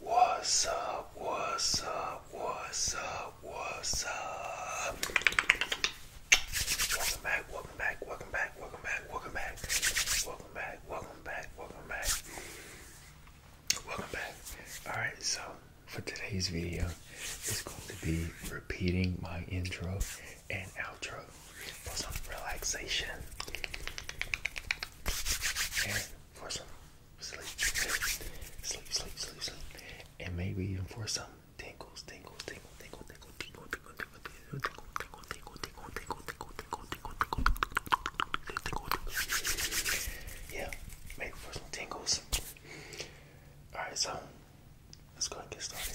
What's up? What's up? What's up? What's up? Welcome back, welcome back, welcome back, welcome back, welcome back, welcome back, welcome back, welcome back. Welcome back. Alright, so for today's video, it's going to be repeating my intro and outro for some relaxation and for some sleep, sleep, sleep, sleep, sleep, and maybe even for some tingles, tingles, tingles, tingles, tingles, tingles, tingles, tingles, tingles, tingles, tingles, tingles, tingles, tingles, tingles, yeah, maybe for some tingles. All right, so let's go ahead and get started.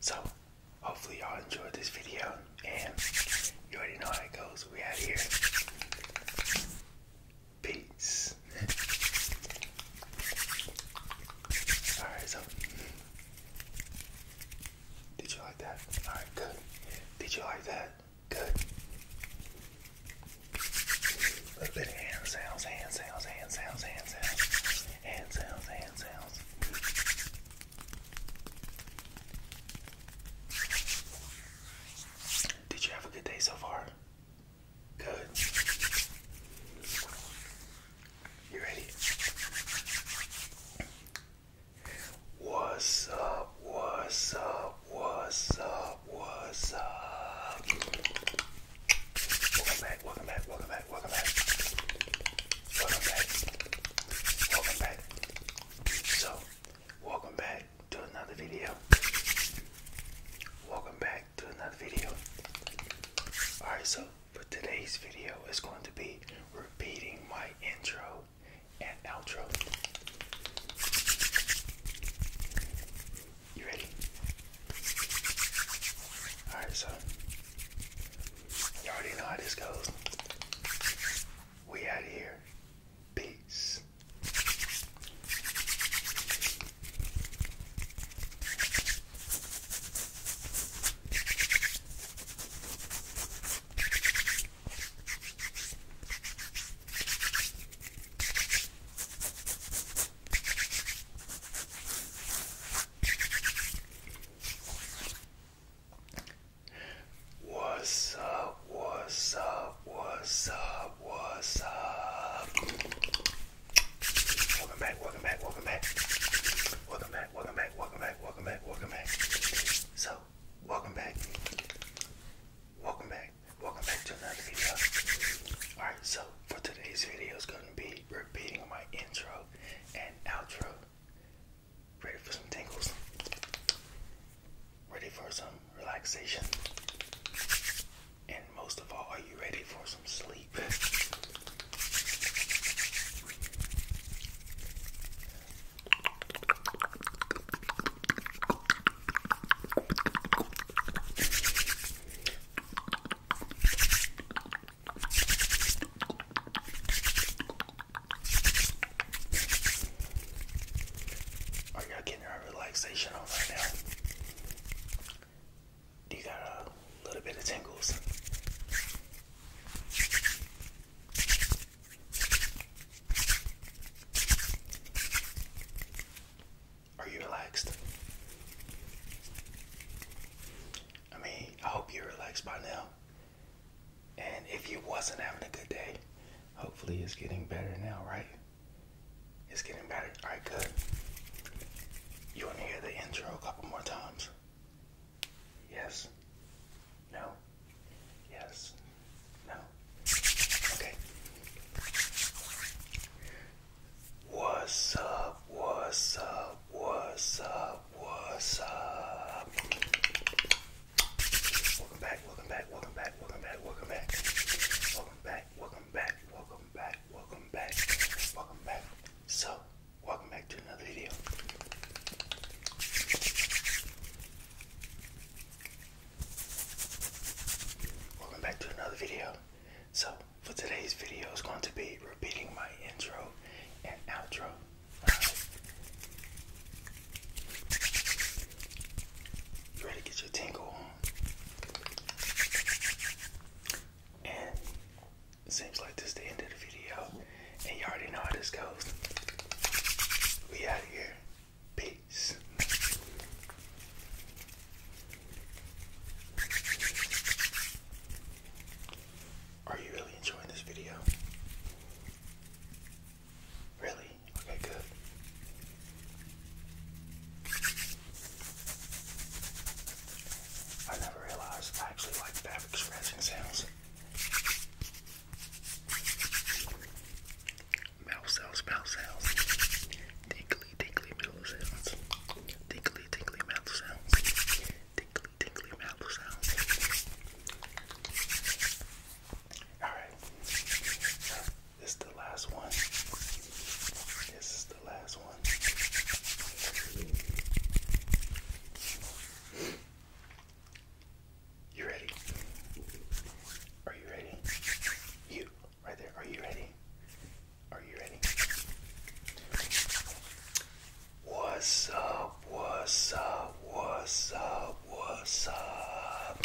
So, hopefully, y'all enjoyed this video, and you already know how it goes. We out here. Peace. Alright, so did you like that? Alright, good. Did you like that? Good. Did you have a good day so far? Good. You ready? What's up? What's up? What's up? What's up? Uh, welcome back, welcome back, welcome back, welcome back. Welcome back. Welcome back. So, welcome back to another video. Welcome back to another video. Alright, so for today's video, it's going to be repeating my intro and outro. You ready? Alright, so you already know how this goes. We out here. Peace. What's up? What's up? What's up? What's up? Welcome back, welcome back, welcome back. Welcome back, welcome back, welcome back, welcome back, So, Welcome back. Welcome back. Welcome back to another video. Alright, so for today's video is gonna be repeating my intro and outro. Ready for some tingles? Ready for some relaxation? And most of all, are you ready for some sleep? Are y'all getting your relaxation on right now? you got a a little bit of tingles. Are you relaxed? I mean, I hope you're relaxed by now. And if you wasn't having a good day, hopefully it's getting better now, right? It's getting better. Alright, good. You want to hear the intro a couple more times? Yes. No. Yes. No. Okay. What's up? What's up? What's up? What's up? Welcome back, welcome back, welcome back, welcome back, welcome back. Welcome back, welcome back, welcome back, welcome back, welcome back. So, welcome back to another video. Welcome back to another video. So, for today's video is going to be repeating my intro and outro. ready to get your tingle on? And it seems like this is the end of the video. And you already know how this goes. We out here. Peace. Are you really enjoying this video? Really? Okay, good. I never realized I actually like fabric scratching sounds. Mouth sounds, mouth sounds. Tinkly, tinkly mouth sounds. Tinkly, tinkly mouth sounds. Tinkly, tinkly mouth sounds. Alright. This is the last one. This is the last one. You ready? Are you ready? You, right there. Are you ready? Are you ready? What's up? What's up? What's up? What's up?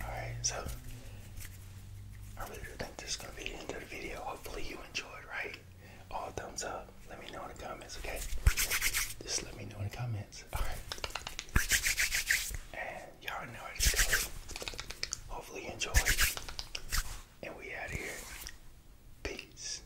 Alright, so I really think this is gonna be the end of the video. Hopefully you enjoyed, right? All thumbs up. Let me know in the comments, okay? Just let me know in the comments. Alright. And y'all know it. Hopefully you enjoyed. And we out of here. Peace.